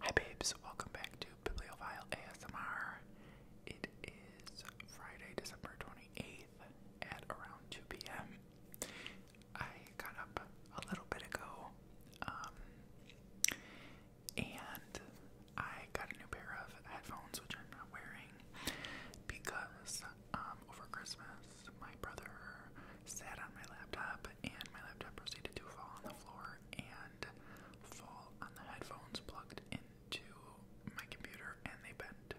Hi, babes. Welcome back to Bibliophile ASMR. It is Friday, December 28th at around 2 p.m. I got up a little bit ago um, and I got a new pair of headphones, which I'm not wearing because um, over Christmas because my brother sat on my laptop and my laptop proceeded to fall on the floor and fall on the headphones plugged into my computer and they bent.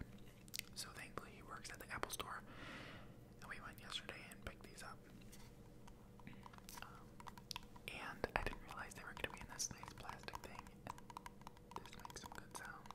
So thankfully he works at the Apple store and we went yesterday and picked these up. Um, and I didn't realize they were going to be in this nice plastic thing. This makes some good sounds.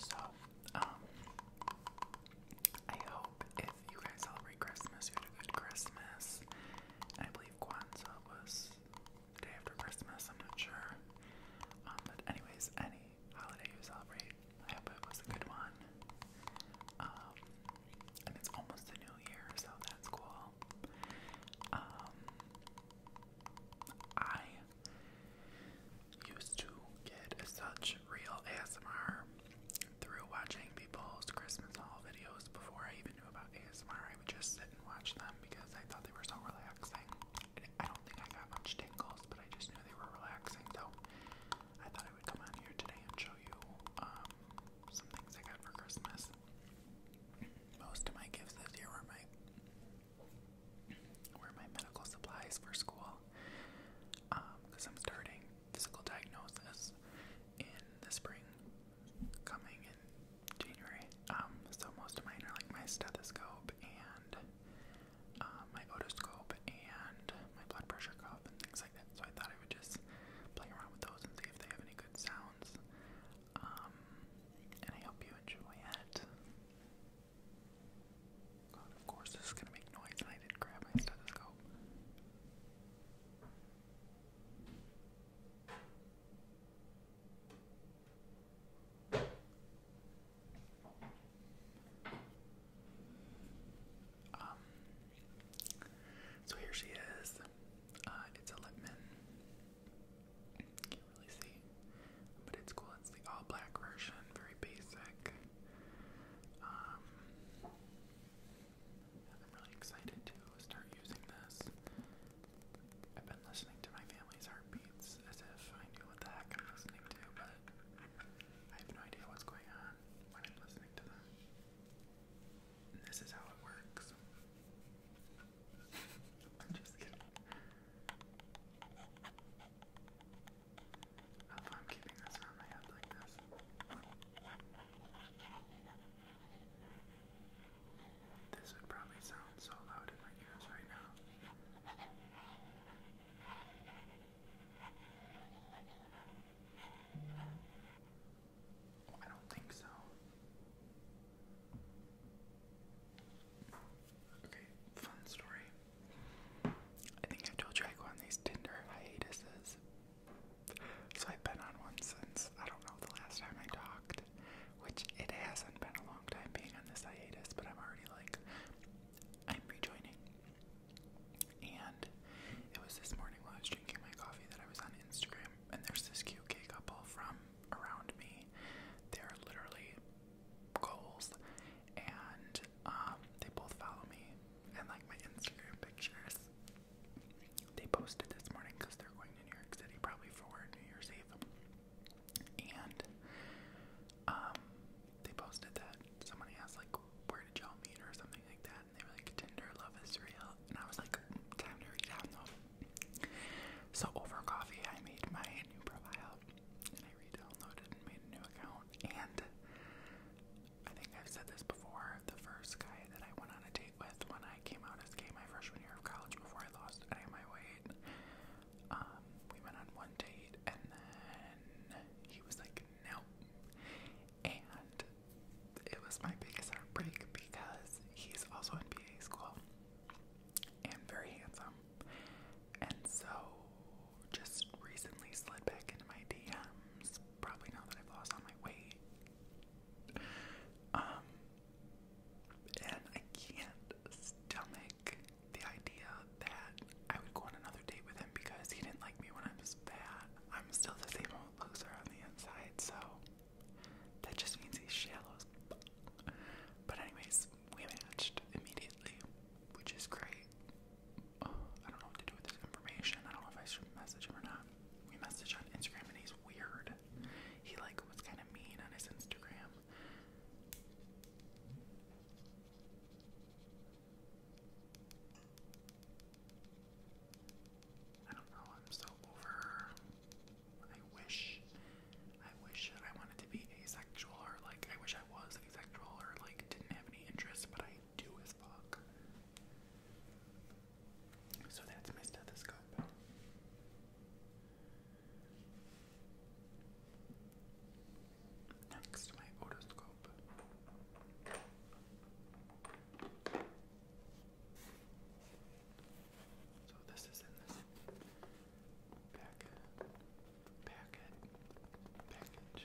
So, um, I hope if you guys celebrate Christmas, you have a good Christmas. I believe believe Kwanzaa was day after Christmas, I'm not sure. Um, but, anyways, any holiday you celebrate, I hope it was a good one. Um, and it's almost the new year, so that's cool. Um, I used to get such real ASMR through watching maybe Paul's Christmas haul videos before I even knew about ASMR. I would just sit and watch them because I thought they were so relaxing. I don't think I got much tingles, but I just knew they were relaxing, so I thought I would come on here today and show you um, some things I got for Christmas. Most of my gifts this year were my were my medical supplies for school, because um, I'm starting physical diagnosis in the spring, coming in January. Um, so most of mine are like my stethoscope and uh, my otoscope and my blood pressure cuff and things like that. So I thought I would just play around with those and see if they have any good sounds. Um, and I hope you enjoy it. God, of course this is gonna make noise, and I did grab my stethoscope. Um, so here she is. Uh, it's a Lipman. Can't really see, but it's cool. It's the all black version, very basic. Um, I'm really excited to start using this. I've been listening to my family's heartbeats as if I knew what the heck I'm listening to, but I have no idea what's going on when I'm listening to them. this is how it works. I'm just kidding. I am keeping this around my head this would probably sound so loud in my ears right now. I don't think so. Okay, fun story. I think I told you I go on these Tinder hiatuses so I've been on one since I don't know the last time I talked, which it hasn't been a long time being on this hiatus, but I'm already like I'm rejoining. And it was this morning while I was drinking my coffee that I was on Instagram and there's this cute couple from around me. They're literally goals and um they both follow me and like my Instagram pictures. They posted this morning because they're going to New York City probably for New Year's Eve. And um they posted that someone asked like where did y'all meet or something like that and they were like Tinder love is and I was like time to reach out So over coffee I made my new profile and I redownloaded and made a new account and I think I've said this before. The first guy that I went on a date with when I came out as gay my freshman year of college before I lost any my weight, um, we went on one date and then he was like, no. And it was my biggest heartbreak because he's also in PA school and very handsome. And so just recently slid back into my DMs, probably now that I've lost all my weight. Um, and I can't stomach the idea that I would go on another date with him because he didn't like me when I was fat. I'm still the same old loser on the inside, so that just means he's shallow But anyways, we matched immediately, which is great. I don't know what to do with this information. I don't know if I should message him or not. We message on Instagram and he's weird. He like was kind of mean on his Instagram. I don't know, I'm so over. I wish, I wish I wanted to be asexual or like, I wish I was asexual or like didn't have any interests, but I do with Bach. So that's my stethoscope. Next, my otoscope. So this is in this packet, packet, package.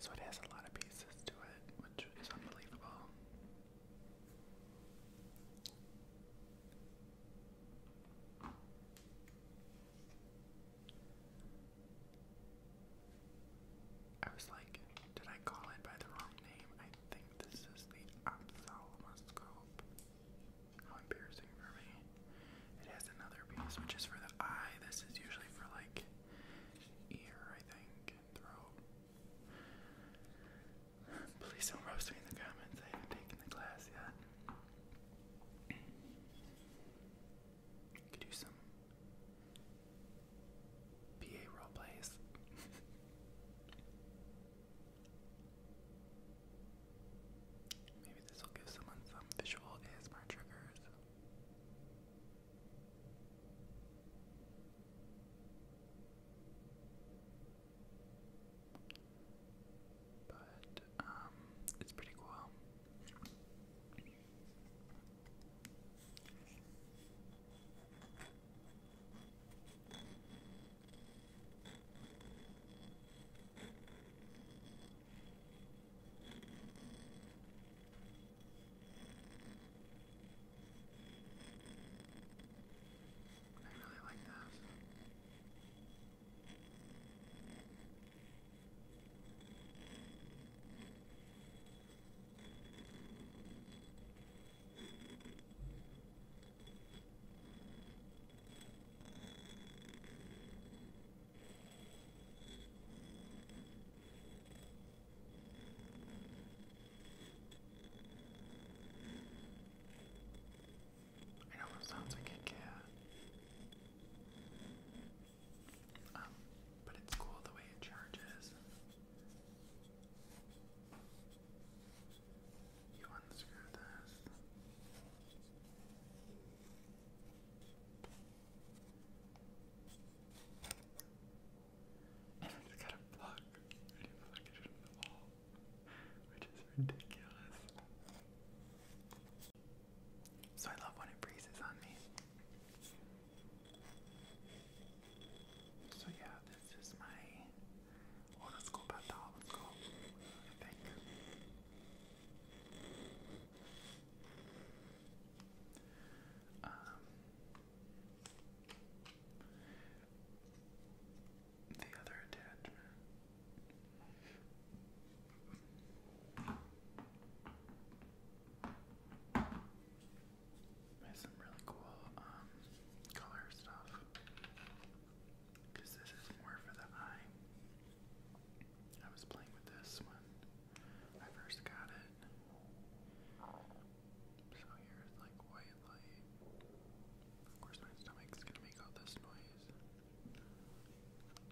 So it has a lot of pieces to it, which is unbelievable. I was like, did I call it by the wrong name? I think this is the ophthalmoscope. How embarrassing for me. It has another piece, which is for the eye. This is usually for like ear, I think, and throat. Please don't roast me in the comments. I haven't taken the class yet. Could do some PA role plays. Maybe this will give someone some visual ASMR triggers. But um, it's pretty cool. I really like that. I know it sounds like a cat. Um, but it's cool the way it charges. You unscrew this. And it's got a plug. you plug it in the wall. Which is ridiculous. So I love when it breezes on me. So yeah, this is my oh, let's go about the let's go. I think. Um, the other attachment there's some really cool um, color stuff because this is more for the eye. I was playing with this when I first got it. So here's like white light. Of course, my stomach's gonna make all this noise.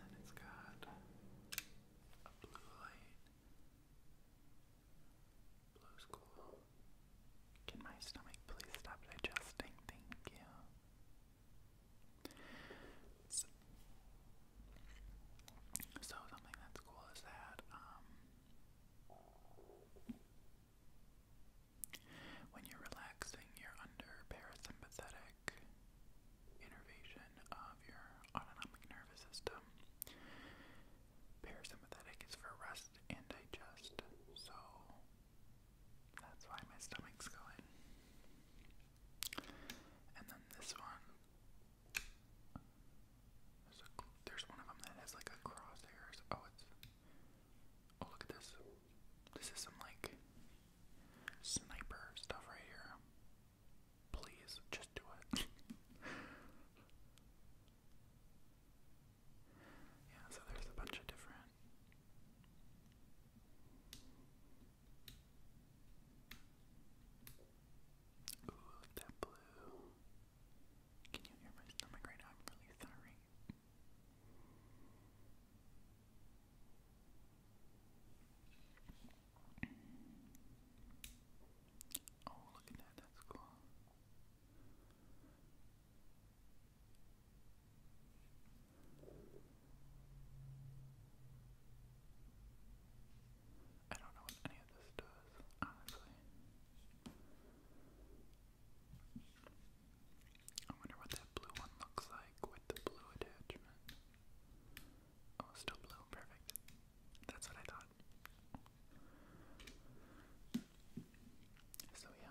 and then it's got a blue light. Blue's cool. Can my stomach please stop digesting? Thank you. So, something that's cool is that um, when you're relaxing, you're under parasympathetic innervation of your autonomic nervous system. Parasympathetic is for rest and digest, so that's why my stomach's going. And then this one, there's one of them that has like a crosshairs. Oh, it's. Oh, look at this. This is some like sniper stuff right here. Please, just do it. yeah, so there's a bunch of different. Ooh, that blue. Can you hear my stomach right now? I'm really sorry. Oh, look at that, that's cool. I don't know what any of this does, honestly. I wonder what that blue one looks like with the blue attachment. Oh, still blue. Perfect. That's what I thought. So, yeah.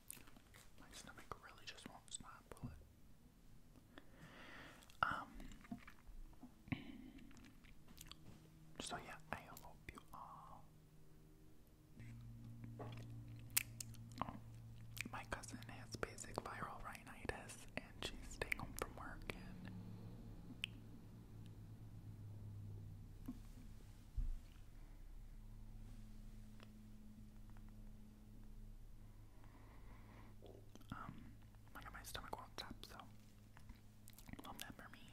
My stomach really just won't stop, will Um. So yeah, I hope you all. my cousin has basic viral rhinitis, and she's staying home from work um, I got my stomach will up, so love that for me.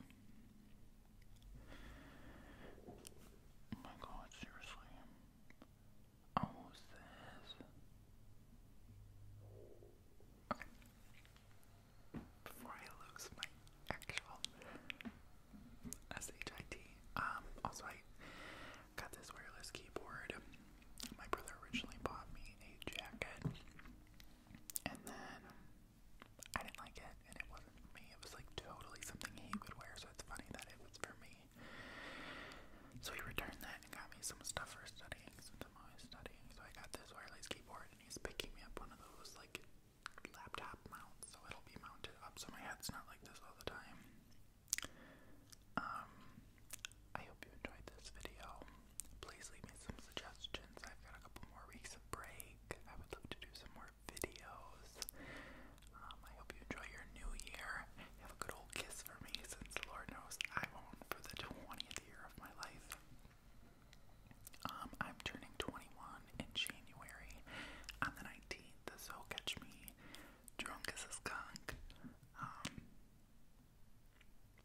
Oh my god, seriously. Oh, who's this? Okay. Before I lose my actual S-H-I-T. Um, also, I got this wireless keyboard. My brother originally bought me a jacket, and then I didn't like it, and it wasn't me. It was like totally something he would wear, so it's funny that it was for me. So he returned that and got me some stuff for studying, since I'm always studying. So I got this wireless keyboard, and he's picking me up one of those like laptop mounts, so it'll be mounted up so my head's not like this all the time. Um, I hope you enjoyed this video. Please leave me some suggestions. I've got a couple more weeks of break. I would love to do some more videos. Um, I hope you enjoy your new year. Have a good old kiss for me since Lord knows I will for the 20th year of my life. Um, I'm turning 21 in January on the 19th, so catch me drunk as a skunk. Um,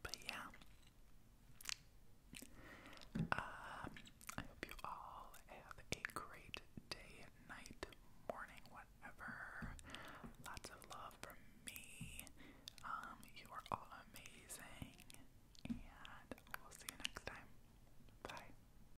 but yeah. Um, I hope you all have a great day, night, morning, whatever. Lots of love from me. Um, you are all amazing. And we'll see you next time. Bye.